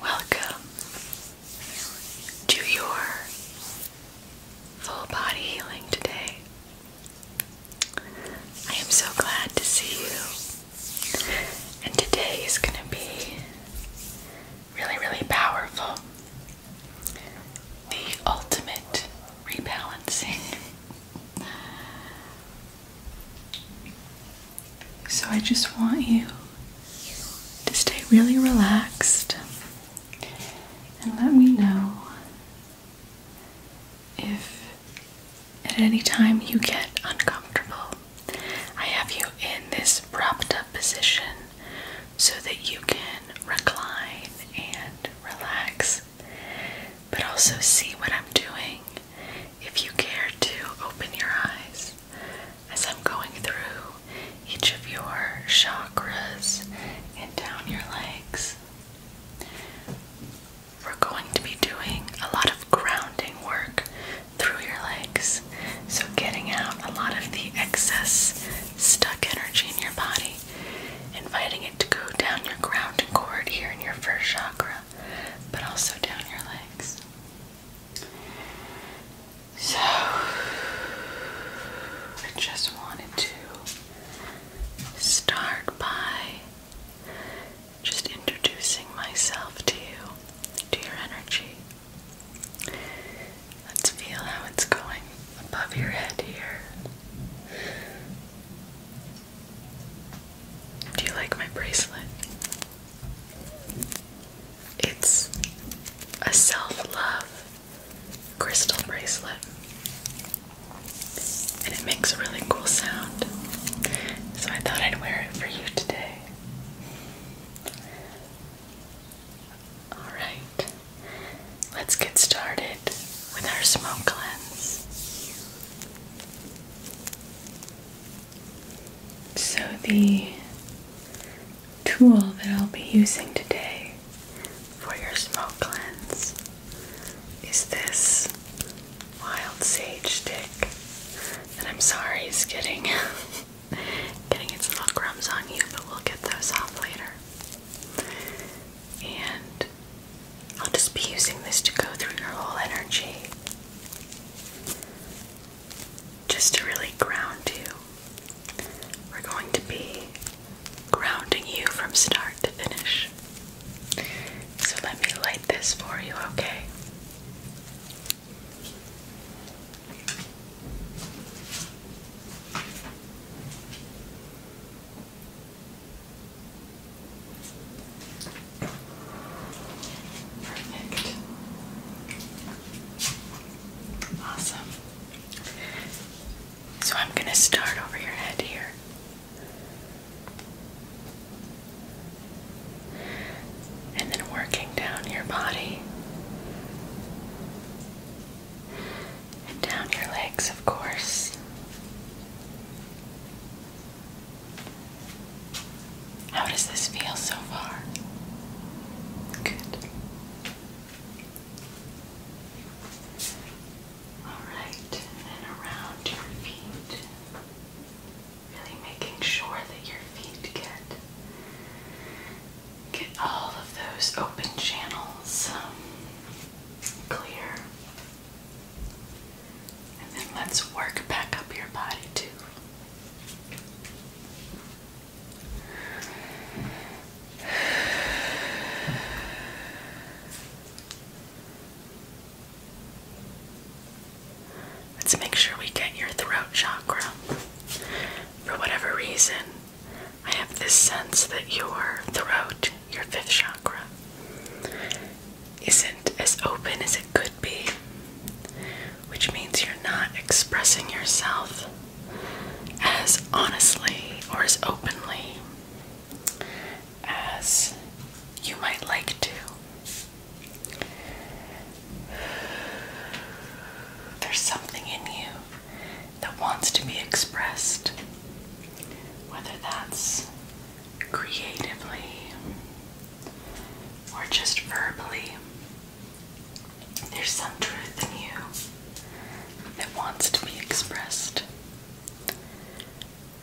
Welcome to your full body healing today. I am so glad to see you, and today is going to be really, really powerful. The ultimate rebalancing so I just want you to stay really relaxed and let me know if at any time you get uncomfortable. I have you in this propped up position so that you can recline and relax but also see what I'm doing if you care to open your eyes as I'm going through each of your chakras and down your legs. We're going to be doing a lot of grounding work through your legs, so getting out a lot of the excess stuck energy in your body, inviting to go down your ground cord here in your first chakra, but also down your legs. So, I just wanted to start by just introducing myself to you, to your energy. Let's feel how it's going above your head here. Do you like my bracelet? It's a self love crystal bracelet. And it makes a really cool sound. So I thought I'd wear it for you today. Alright. Let's get started with our smoke cleanse. So, the tool that I'll be using today for your smoke cleanse is this wild sage stick And I'm sorry is getting. Getting its little crumbs on you, but we'll get those off later. And I'll just be using this to go through your whole energy. Just to really ground you. We're going to be grounding you from start to finish. So let me light this for you, okay? Perfect. Awesome. So I'm going to start over your head here. And then working down your body and down your legs, of course. How does this feel so far? Good. Alright, and around your feet. Really making sure that your feet get get all of those open channels clear. And then let's work back up your body too. Let's make sure we get your throat chakra. For whatever reason, I have this sense that your throat your fifth chakra, isn't as open as it could be, which means you're not expressing yourself as honestly or as openly as you might like to. There's something in you that wants to be expressed, whether that's creatively or just verbally. There's some truth in you that wants to be expressed.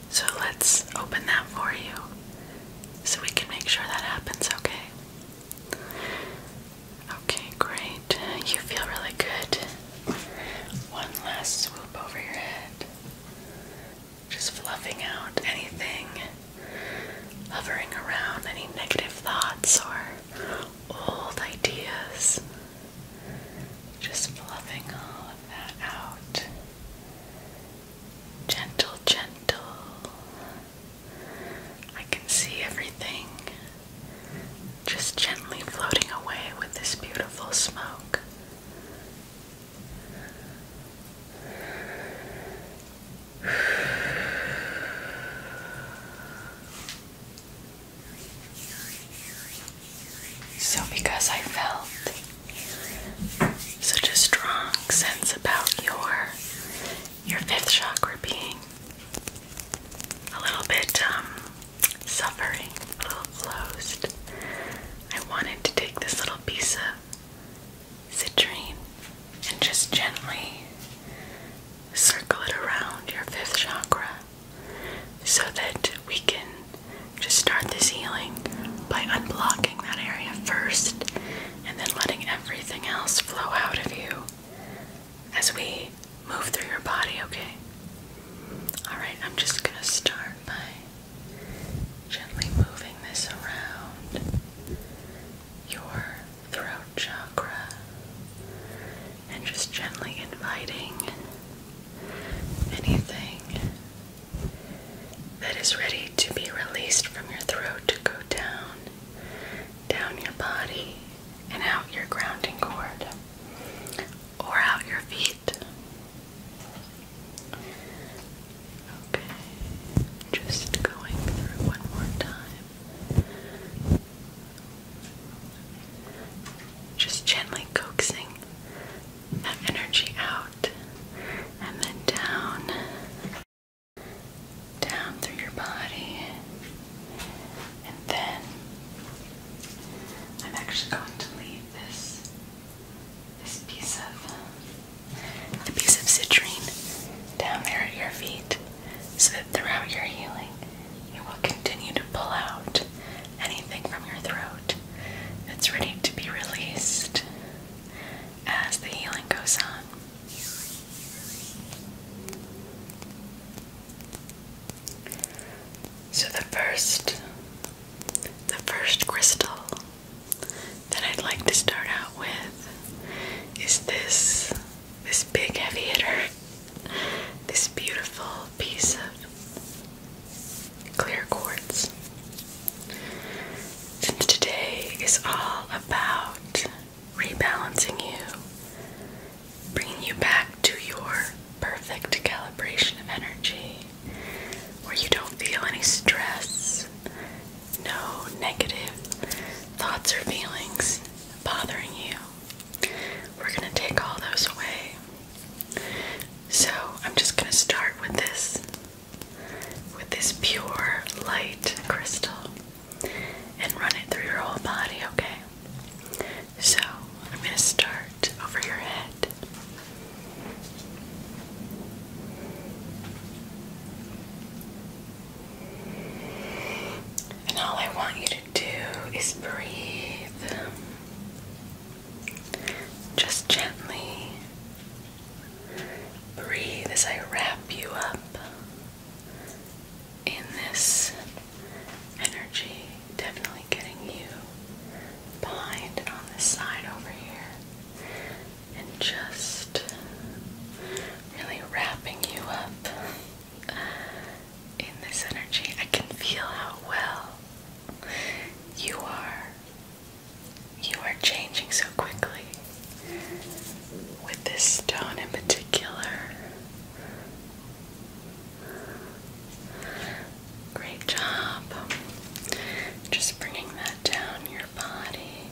So let's open that for you so we can make sure that happens, okay? Okay, great. You feel really good. One last swoop over your head. Just fluffing out anything hovering around, any negative thoughts or old ideas. Just fluffing all of that out. Gentle, gentle. I can see everything just gently floating away with this beautiful smoke. So, because I felt such a strong sense about your your fifth chakra being a little bit um, suffering, a little closed. I wanted to take this little piece of citrine and just gently circle it around your fifth chakra so that we can just start this healing by unblocking that area first and then letting everything else flow out of you as we move through your body, okay? Alright, I'm just gonna start by gently moving this around your throat chakra and just gently inviting anything that is ready to be released from your throat to go down, down your body, and out your grounding cord or out your feet. Okay, just going through one more time. Just gently coaxing that energy out and then down, down through your body, and then I'm actually going to leave this this piece of the piece of citrine down there at your feet so that throughout your healing you will continue to pull out anything from your throat that's ready to be released as the healing goes on. So the first the first crystal that I'd like to start out with is this this big heavy hitter. This beautiful piece of clear quartz. Since today is all about rebalancing you Bring you back to your perfect calibration of energy where you don't feel any stress, no negative thoughts or feelings bothering you. We're going to take all those away. So, I'm just going to start with this with this pure light crystal and run it through your whole body, okay? So I'm going to start over your head. And all I want you to do is breathe. Just gently breathe as I wrap you up in this energy definitely getting you behind and on this side over here and just really wrapping you up in this energy. I can feel how well you are. You are changing so quickly. With this stone in particular, Great job. Just bringing that down your body,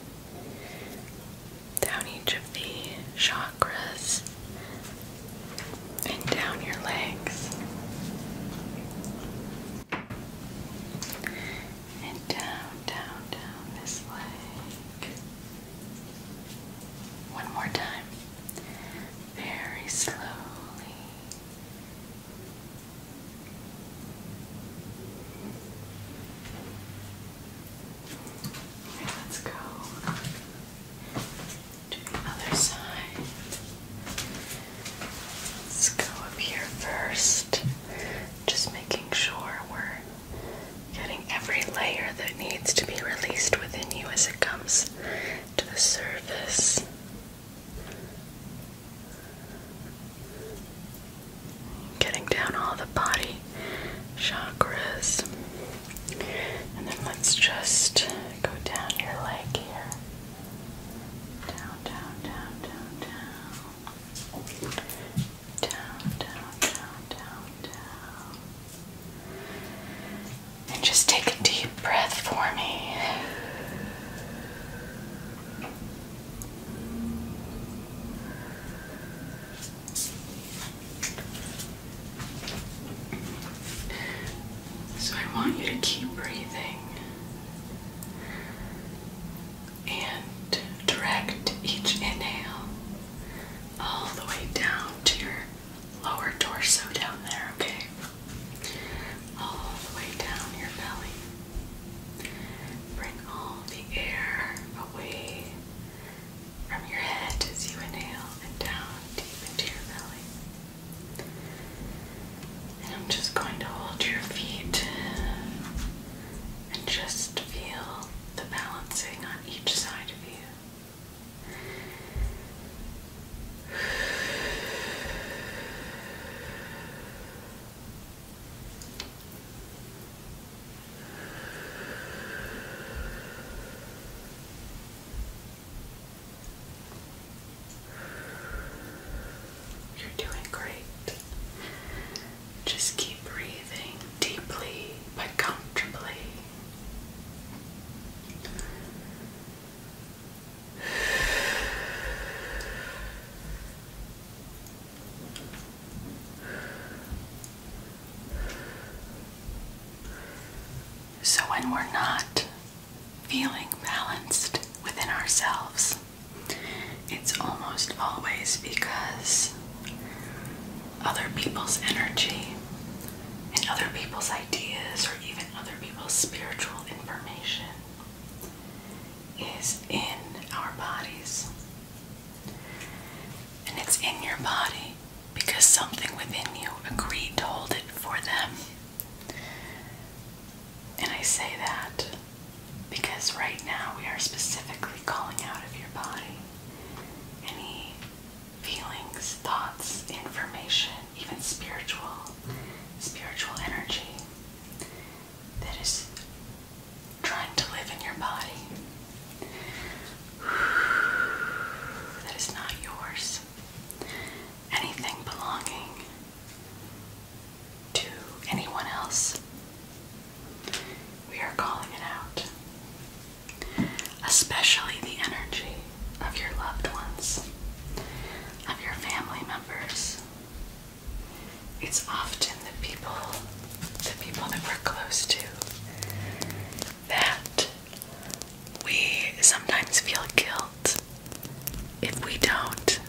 down each of the chakras, and down your legs. And down, down, down this leg. One more time very slowly. Okay, let's go to the other side. Let's go up here first. Just making sure we're getting every layer that needs to be released within you as it comes to the surface. Getting down all the body chakras. And then let's just go down your leg here. Down, down, down, down, down. Down, down, down, down, down. And just take a deep breath for me. So I want you to keep breathing and direct each inhale all the way down to your lower torso down there, okay? All the way down your belly. Bring all the air away from your head as you inhale and down deep into your belly. And I'm just going to hold your feet and just feel the balancing on each side of you. You're doing great. Just keep breathing deeply but comfortably. So, when we're not feeling balanced within ourselves, it's almost always because other people's energy and other people's ideas or even other people's spiritual information is in our bodies. And it's in your body because something within you agreed to hold it for them. And I say that because right now we are specifically calling out of your body any feelings, thoughts, information, even spiritual, spiritual energy that is trying to live in your body that is not yours. Anything belonging to anyone else. We are calling it out especially the energy of your loved ones, of your family members. It's often the people, the people that we're close to, that we sometimes feel guilt if we don't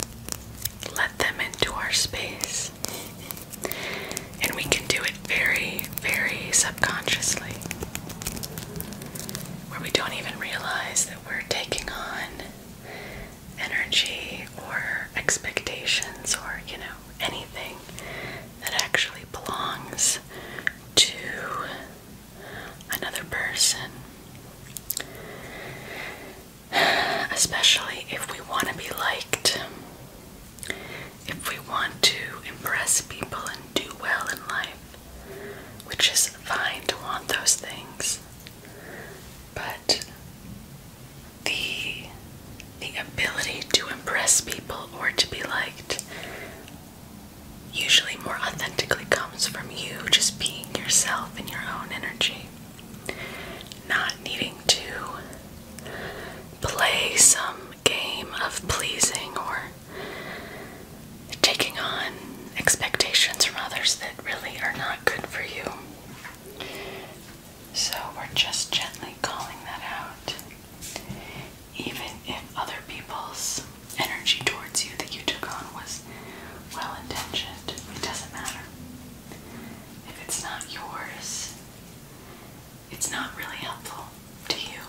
let them into our space. And we can do it very, very subconsciously where we don't even realize that we're taking on energy or expectations or, you know, anything that actually belongs to another person. Especially if we want to be liked, if we want to impress people and do well in life, which is fine to want those things, but the the ability to impress people or to be liked usually more authentically comes from you just being yourself in your own energy, not needing to play some game of pleasing or taking on expectations from others that really are not good for you. So we're just gently calling that out. Even if other people's energy towards you that you took on was well intentioned, it doesn't matter. If it's not yours, it's not really helpful to you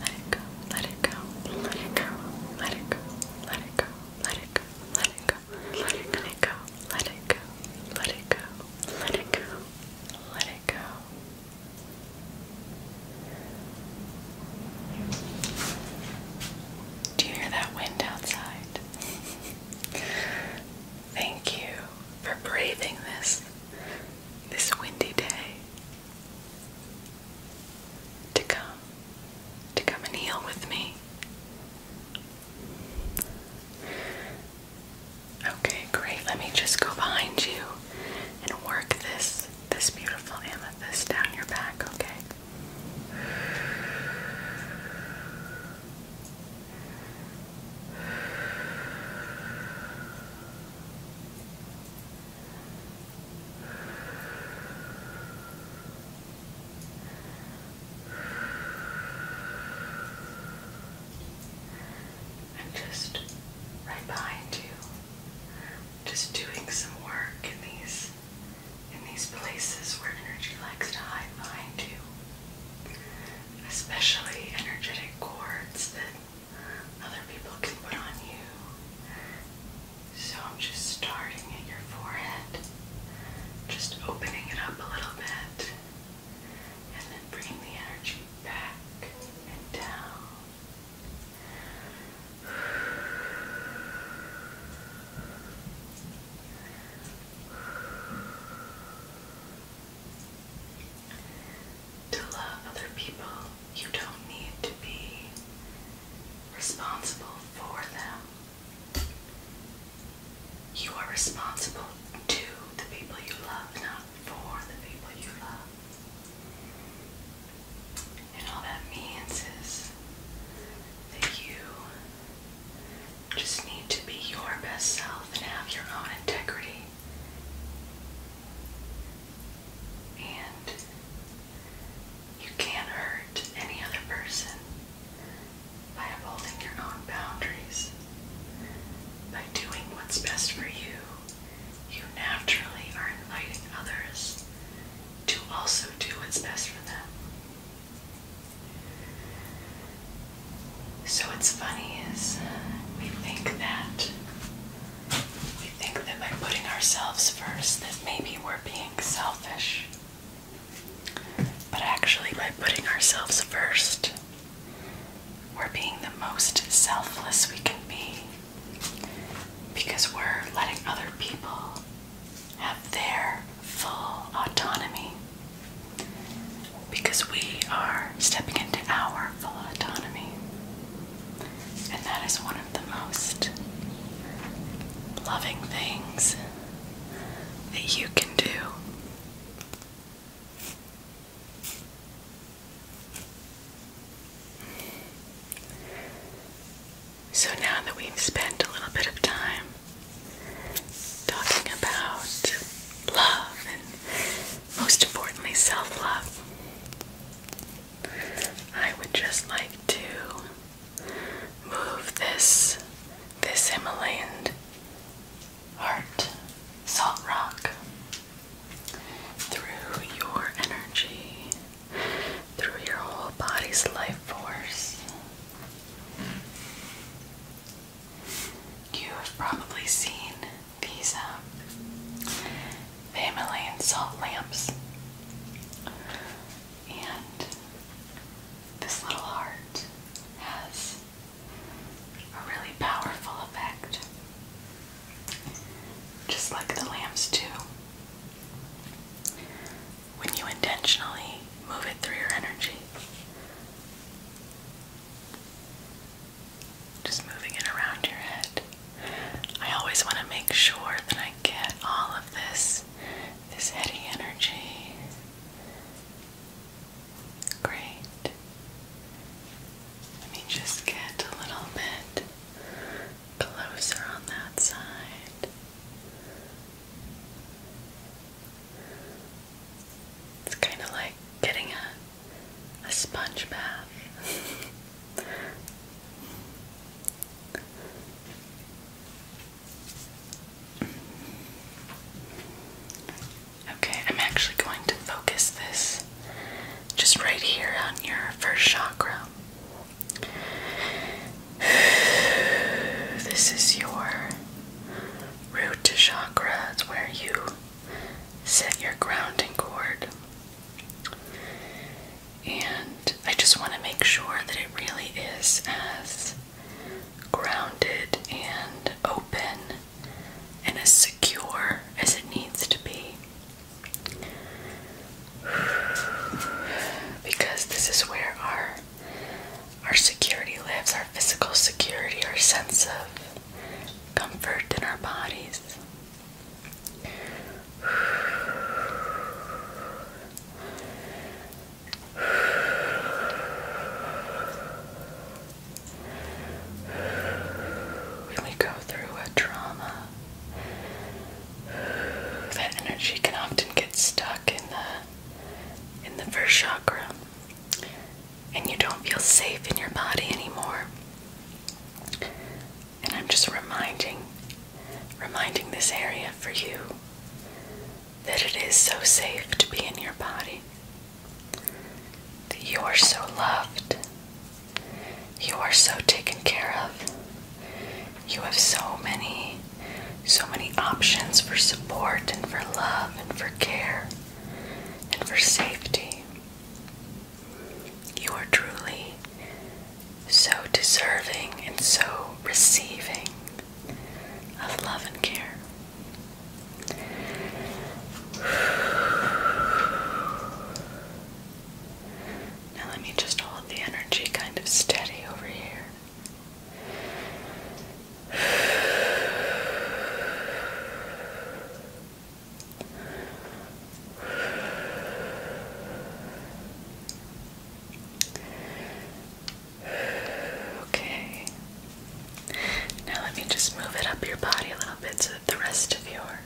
Let it go, let it go, let it go, let it go, let it go, let it go, let it go, let it go, let it go, let it go, let it go, let it go. Do you hear that wind outside? Thank you for braving this this windy day to come, to come and heal with me. Okay, great. Let me just go behind you and work this this beautiful amethyst down your back, okay? I'm just right behind you. Just doing some work in these in these places where energy likes to hide behind you. Especially energetic cords that other people can put on you. So I'm just starting at your forehead, just opening it up a little bit, and then bringing the energy back and down. To love other people, you don't need to be responsible for them. You are responsible to the people you love, not for the people you love. And all that means is that you just need to be your best self and have your own integrity. And you can't hurt any other person by upholding your own boundaries. By doing what's best for you, you naturally are inviting others to also do what's best for them. So, what's funny is we think that we think that by putting ourselves first, that maybe we're being selfish. But actually, by putting ourselves first, we're being the most selfless we can be because we're letting other people have their full autonomy because we are stepping into our full autonomy. And that is one of the most loving things that you can do. So now that we've spent a little bit of time talking about love and most importantly self love, I would just like to move this this Himalayan heart salt rock through your energy, through your whole body's life force. You have probably seen these um, Family and salt lamps. And this little heart has a really powerful effect. Just like the lamps too. When you intentionally move it through your energy. Just moving it around your head. I always want to make sure that I get all of this this heady energy. Great. Let me just get a little bit closer on that side. It's kind of like getting a a sponge bath. Okay, I'm actually going to focus this just right here on your first chakra. This is your root chakra, it's where you set your grounding cord and I just want to make sure that it really is as grounded and open and as secure as it needs to be. Because this is where our our security lives, our physical security, our sense of comfort in our bodies. When we go through a trauma, that energy can often get stuck in the in the first chakra, and you don't feel safe in your body anymore and I'm just reminding reminding this area for you that it is so safe to be in your body. That you are so loved. You are so taken care of. You have so many so many options for support and for love and for care and for safety. You are truly so deserving and so receiving of love and care. Now, let me just hold the energy kind of steady over here. Okay. Now let me just move it up your body a little bit so that the rest of your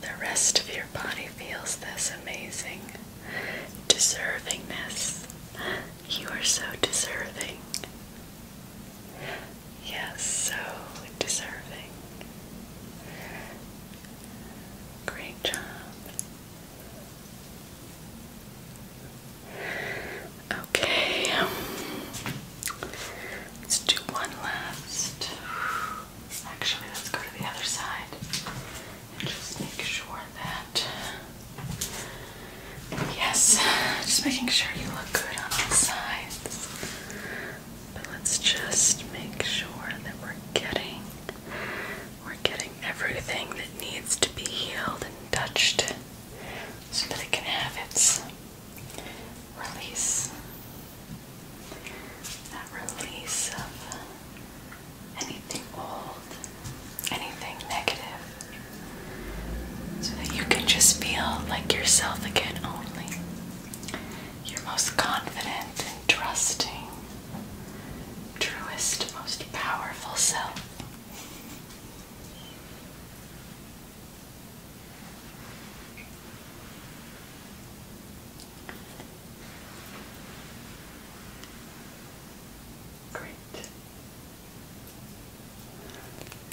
the rest of your body feels this amazing deservingness. You are so deserving. Yes, so deserving. Great job. Okay, let's do one last. Actually, let's go to the other side and just make sure that. Yes, just making sure you look good on all sides. But let's just make sure that we're getting we're getting everything that needs to be healed and touched so that it can have its release. That release of anything old, anything negative. So that you can just feel like yourself again only. You're most confident trusting, truest, most powerful self. Great.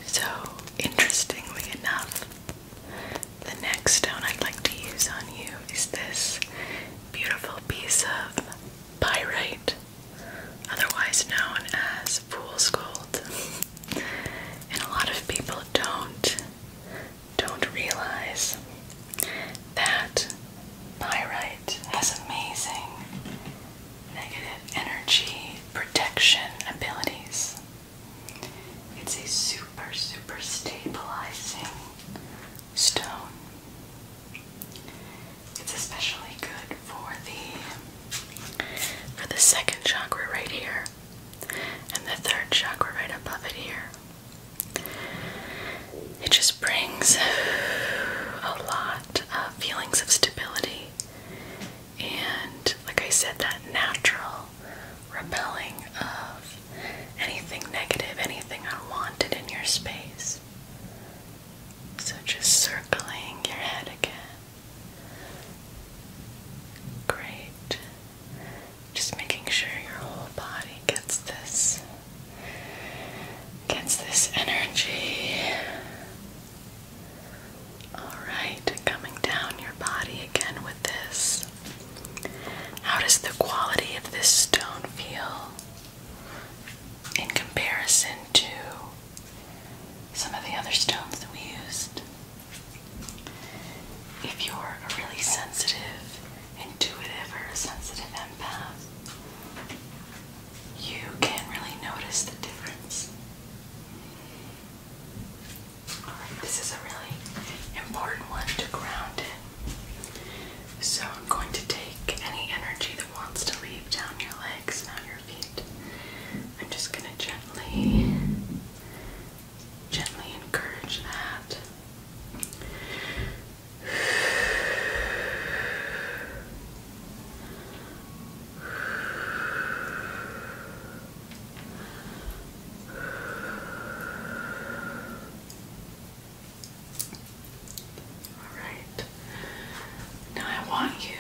So, interestingly enough, the next stone I'd like to use on you is this beautiful piece of pyrite, otherwise known as fool's gold. And a lot of people don't don't realize that pyrite has amazing negative energy protection abilities. It's a super, super stabilizing stone. It's especially good for the for the second chakra right here and the third chakra right above it here. It just brings a lot of feelings of stability and like I said that natural repelling of anything negative, anything unwanted in your space. So just circling your head again. Great. Just making sure your whole body gets this gets this energy. All right, coming down your body again with this how does the quality of this stone feel in comparison to some of the other stones that we used? If you're a really sensitive, intuitive, or sensitive empath, you can not really notice the difference this is a really important one to ground in. So I'm going to take any energy that wants to leave down your legs, now your feet. I'm just going to gently, gently encourage that. All right. Now I want you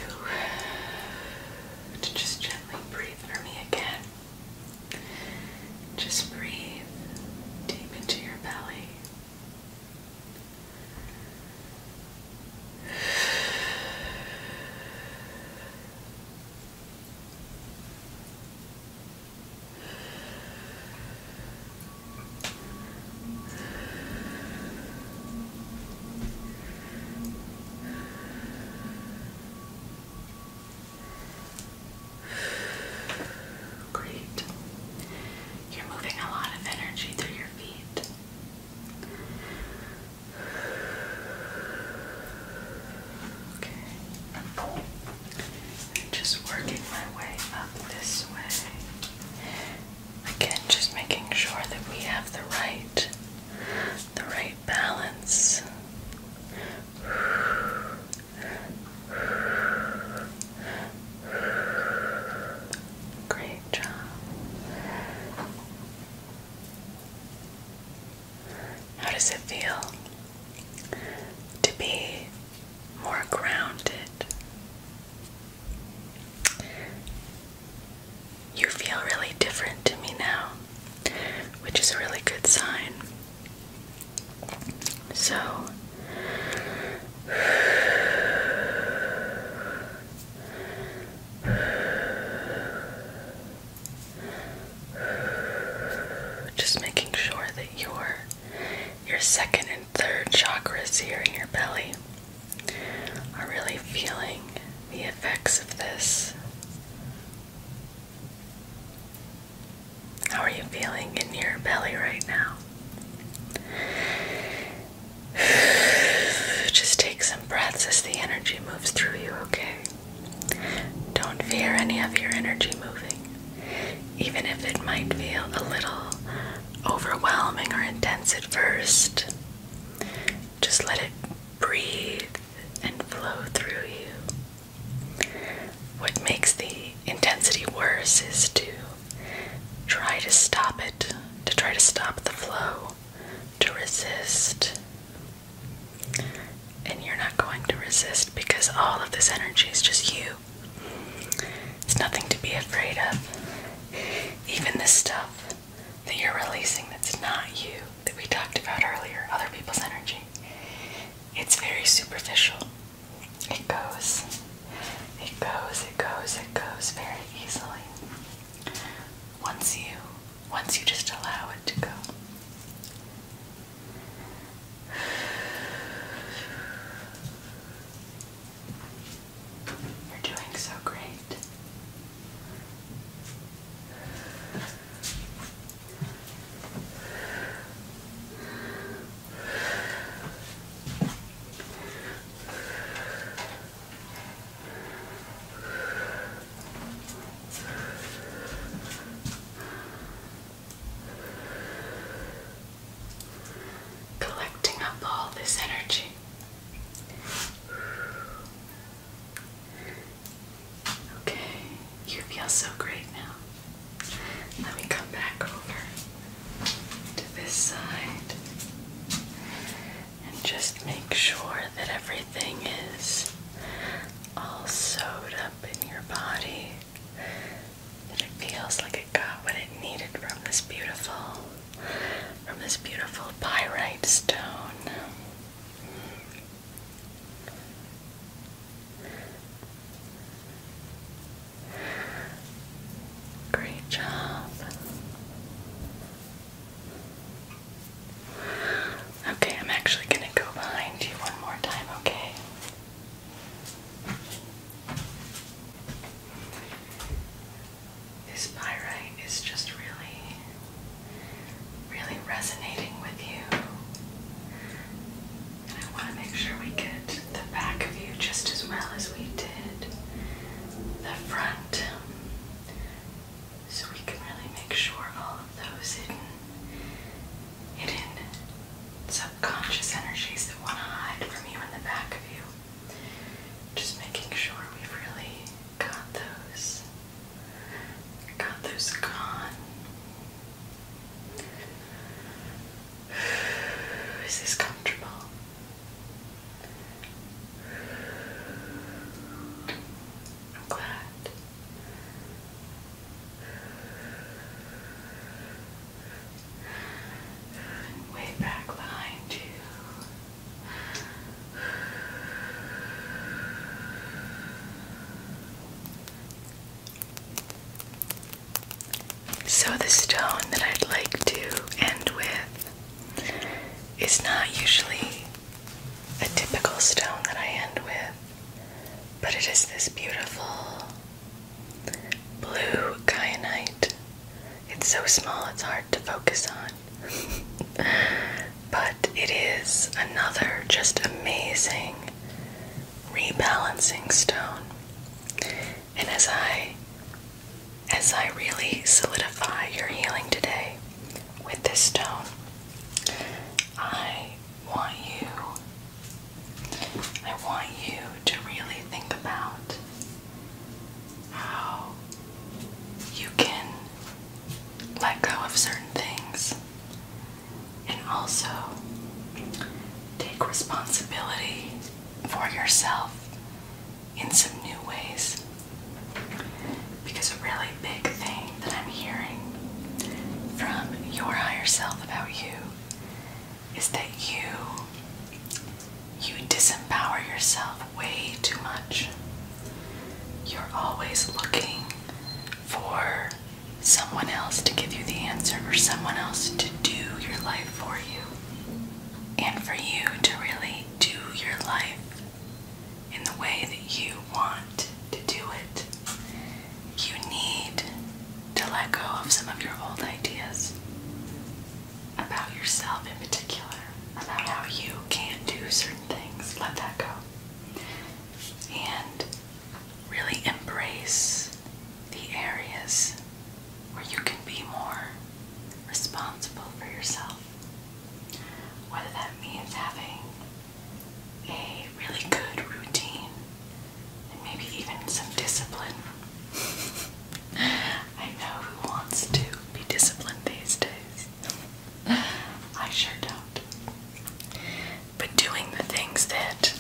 to just gently breathe for me again. Just breathe deep into your belly. Great. You're moving a lot of energy through your feet. Okay. Just working my way up this way. Again, just making sure that we have the right, the right balance. Great job. How does it feel to be more grounded? You feel really different to me now, which is a really good sign. So, just making sure that your your second and third chakras here in your belly are really feeling the effects of this. How are you feeling in your belly right now? Just take some breaths as the energy moves through you, okay? Don't fear any of your energy moving, even if it might feel a little overwhelming or intense at first. Just let it breathe and flow through you. What makes the intensity worse is to try to stop it, to try to stop the flow, to resist, and you're not going to resist because all of this energy is just you. It's nothing to be afraid of. Even the stuff that you're releasing that's not you, that we talked about earlier, other people's energy, it's very superficial. It goes, it goes, it goes, it goes very easily. Once you, once you just allow it to go. You're doing so great. Collecting up all this energy. Okay, you feel so great now. Let me come back over to this side and just make sure that everything is all sewed up in your body that it feels like it got what it needed from this beautiful from this beautiful pyrite stone. Great job. Okay, I'm actually going to go behind you one more time, okay? This pyrite is just really, really resonating with you. And I want to make sure we get the back of you just as well as we did the front. So we can really make sure all of those hidden hidden subconscious energies that want to hide from you in the back of you. Just making sure we've really got those, got those gone. Is this comfortable? I'm glad way back behind you. So, the stone that I'd like to end with is not usually a typical stone that I end with. But it is this beautiful blue kyanite. It's so small it's hard to focus on. but it is another just amazing rebalancing stone. And as I as I really solidify your healing today with this stone, I want you I want you to really think about how you can let go of certain things and also take responsibility for yourself in some new ways because really big thing that I'm hearing from your higher self about you is that you you disempower yourself way too much. You're always looking for someone else to give you the answer or someone else to do your life for you. And for you to really do your life in the way that you want to do it. You need to let go of some of your old ideas about yourself, in particular, about how you can't do certain things. Let that go. And really embrace the areas where you can be more responsible for yourself. Whether that means having a really good routine and maybe even some discipline. I know who wants to be disciplined these days. I sure don't. But doing the things that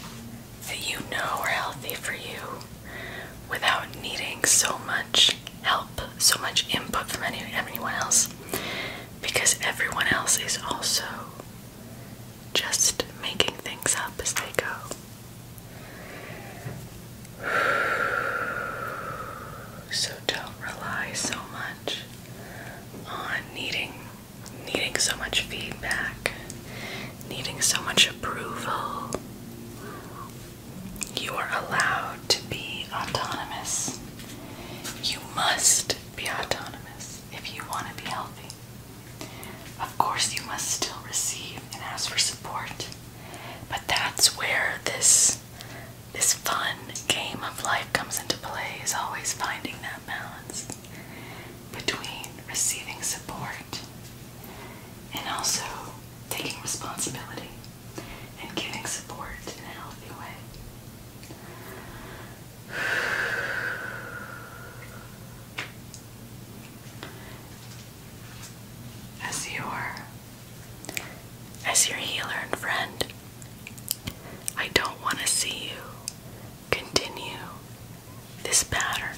that you know are healthy for you without needing so much help, so much input from any anyone else because everyone else is also just making things up as they go. So don't rely so much on needing needing so much feedback, needing so much approval. You are allowed to be autonomous. You must be autonomous if you want to be healthy. Of course, you must still receive and ask for support, but that's where this this fun game of life comes into play. Is always finding that balance between receiving support and also taking responsibility and giving support in a healthy way. As your as your healer and friend, I don't want to see you continue this pattern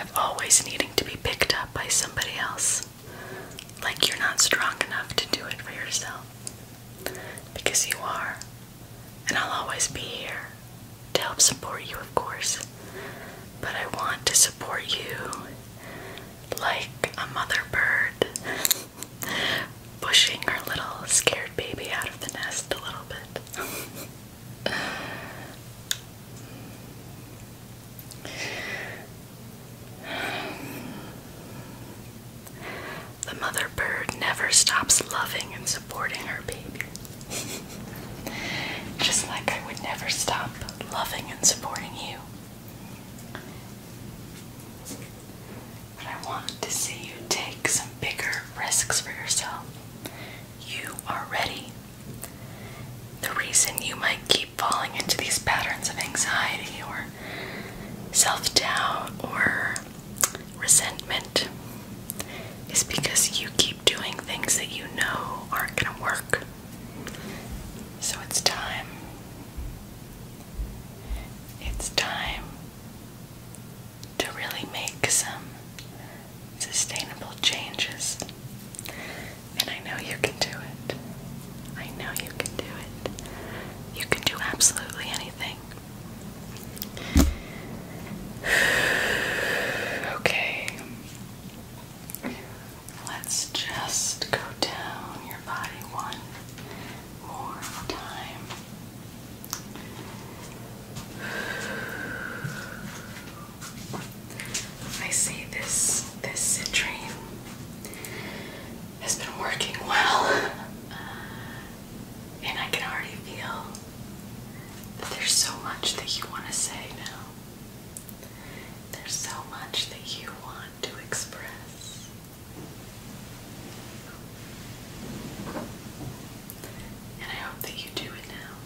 of always needing to be picked up by somebody else, like you're not strong enough to do it for yourself. Because you are. And I'll always be here to help support you, of course. But I want to support you like a mother bird pushing her little scared baby out of the nest a little bit. The mother bird never stops loving and supporting her baby. Just like I would never stop loving and supporting you. But I want to see you take some bigger risks for yourself. You are ready. The reason you might keep falling into these patterns of anxiety or self doubt or resentment is because you keep doing things that you know aren't going to work. So it's time. It's time to really make some sustainable changes. And I know you can do it. I know you can do it. You can do absolutely anything. Okay. Let's just go down your body one more time. I see this this citrine has been working well. And I can already feel that there's so much that you want to say now. There's so much that you want to express. And I hope that you do it now.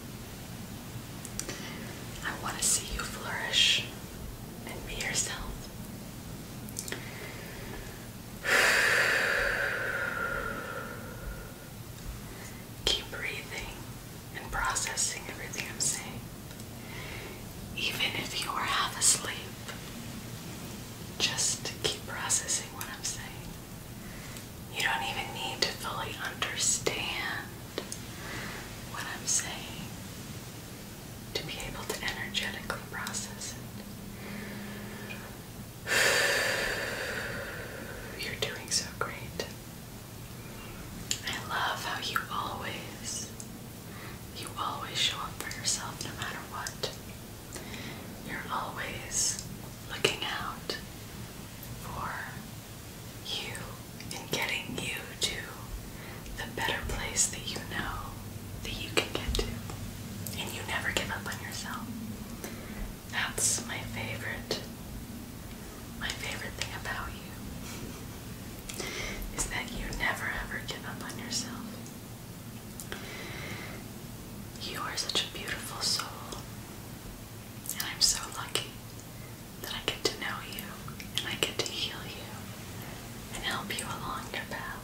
I want to see you flourish and be yourself. Keep breathing and processing everything I'm saying. Even if you are half asleep, just keep processing what I'm saying. You don't even need to fully understand what I'm saying to be able to energetically process it. You're doing so great. I love how you always, you always show up for yourself no matter what. You're always looking out for you and getting you to the better place that you know that you can get to. And you never give up on yourself. That's my favorite. My favorite thing about you is that you never ever give up on yourself. You are such a beautiful soul, and I'm so lucky that I get to know you and I get to heal you and help you along your path.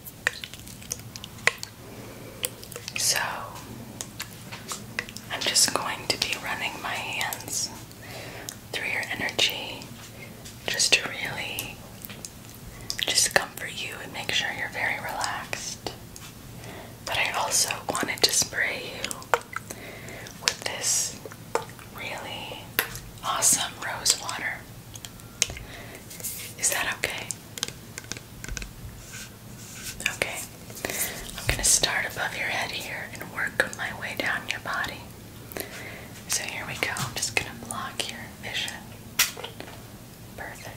So, I'm just going to be running my hands through your energy just to really just comfort you and make sure you're very relaxed. But I also wanted to spray you with this really awesome rose water. Is that okay? Okay, I'm going to start above your head here and work my way down your body. So here we go. I'm just going to block your vision. Perfect.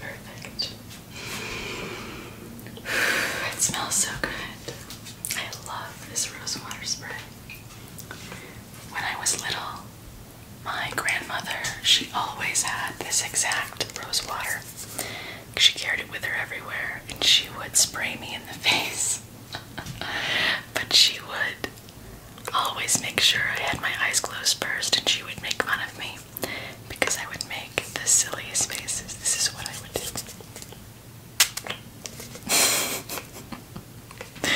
Perfect. It smells so good. I love this rosewater spray. When I was little, my grandmother, she always had this exact rosewater. She carried it with her everywhere, and she would spray me in the face. but she would always make sure I had my eyes closed first, and she would make fun of me because I would make the silliest faces. This is what I would do.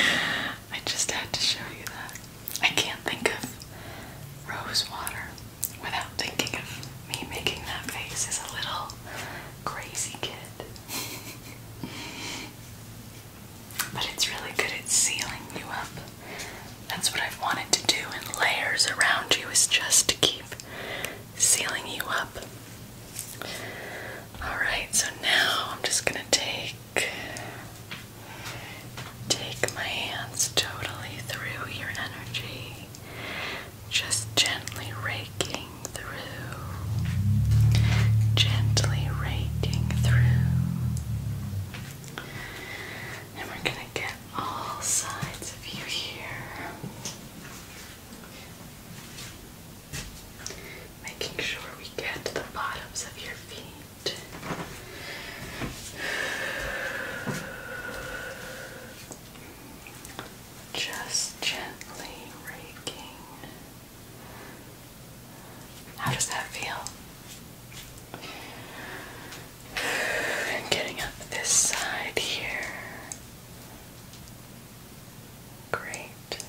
I just had to show you that. I can't think of rosewater without thinking of me making that face is a little crazy kid. but it's really good at sealing you up. That's what I've wanted to do in layers around you is just to keep sealing you up. Alright, so now I'm just gonna take take my hands totally through your energy just gently raking through, gently raking through. And we're going to get all sides of you here. Making sure we get to the bottoms of your feet. Just gently raking. How does that feel? getting up this side here. Great.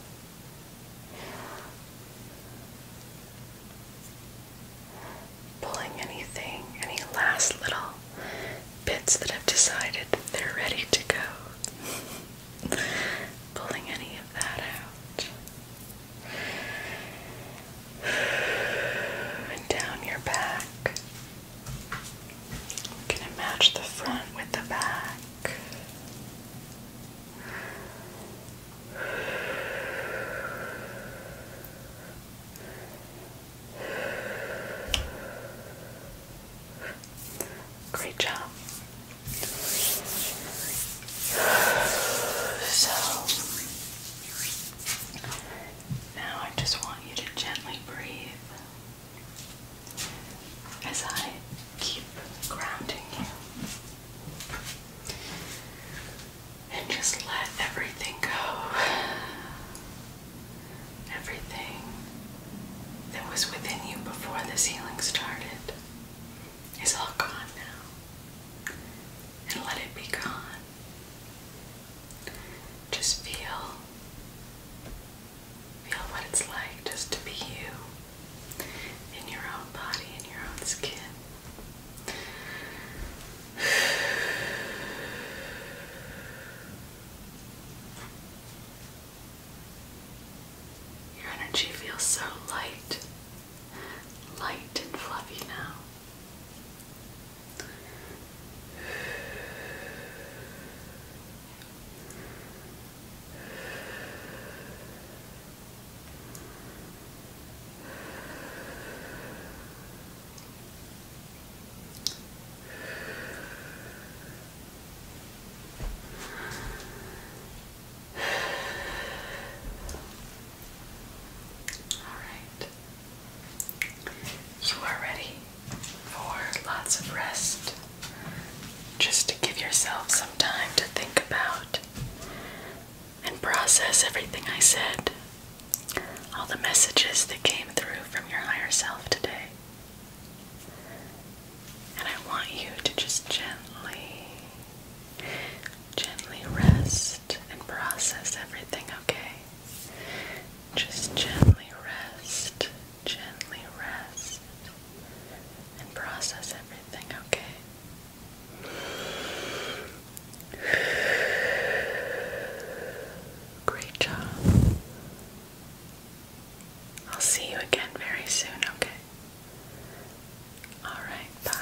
Pulling anything, any last little bits that have decided they're ready to go. Pulling any of that out. And down your back. I'm gonna match the front with the back. Great job. So now I just want you to gently breathe as I keep grounding you. And just let everything go. Everything that was within you before this healing started is all gone now. And let it be gone. Just feel feel what it's like just to be you in your own body, in your own skin. Your energy feels so light, light and fluffy now. Alright. You are ready for lots of rest. Just to give yourself some time to think about and process everything I said all the messages that came through from your higher self today. And I want you to just gently, gently rest and process everything, okay? Just gently rest, gently rest, and process everything, okay? Great job. I'll see you again very soon, okay? Alright, bye.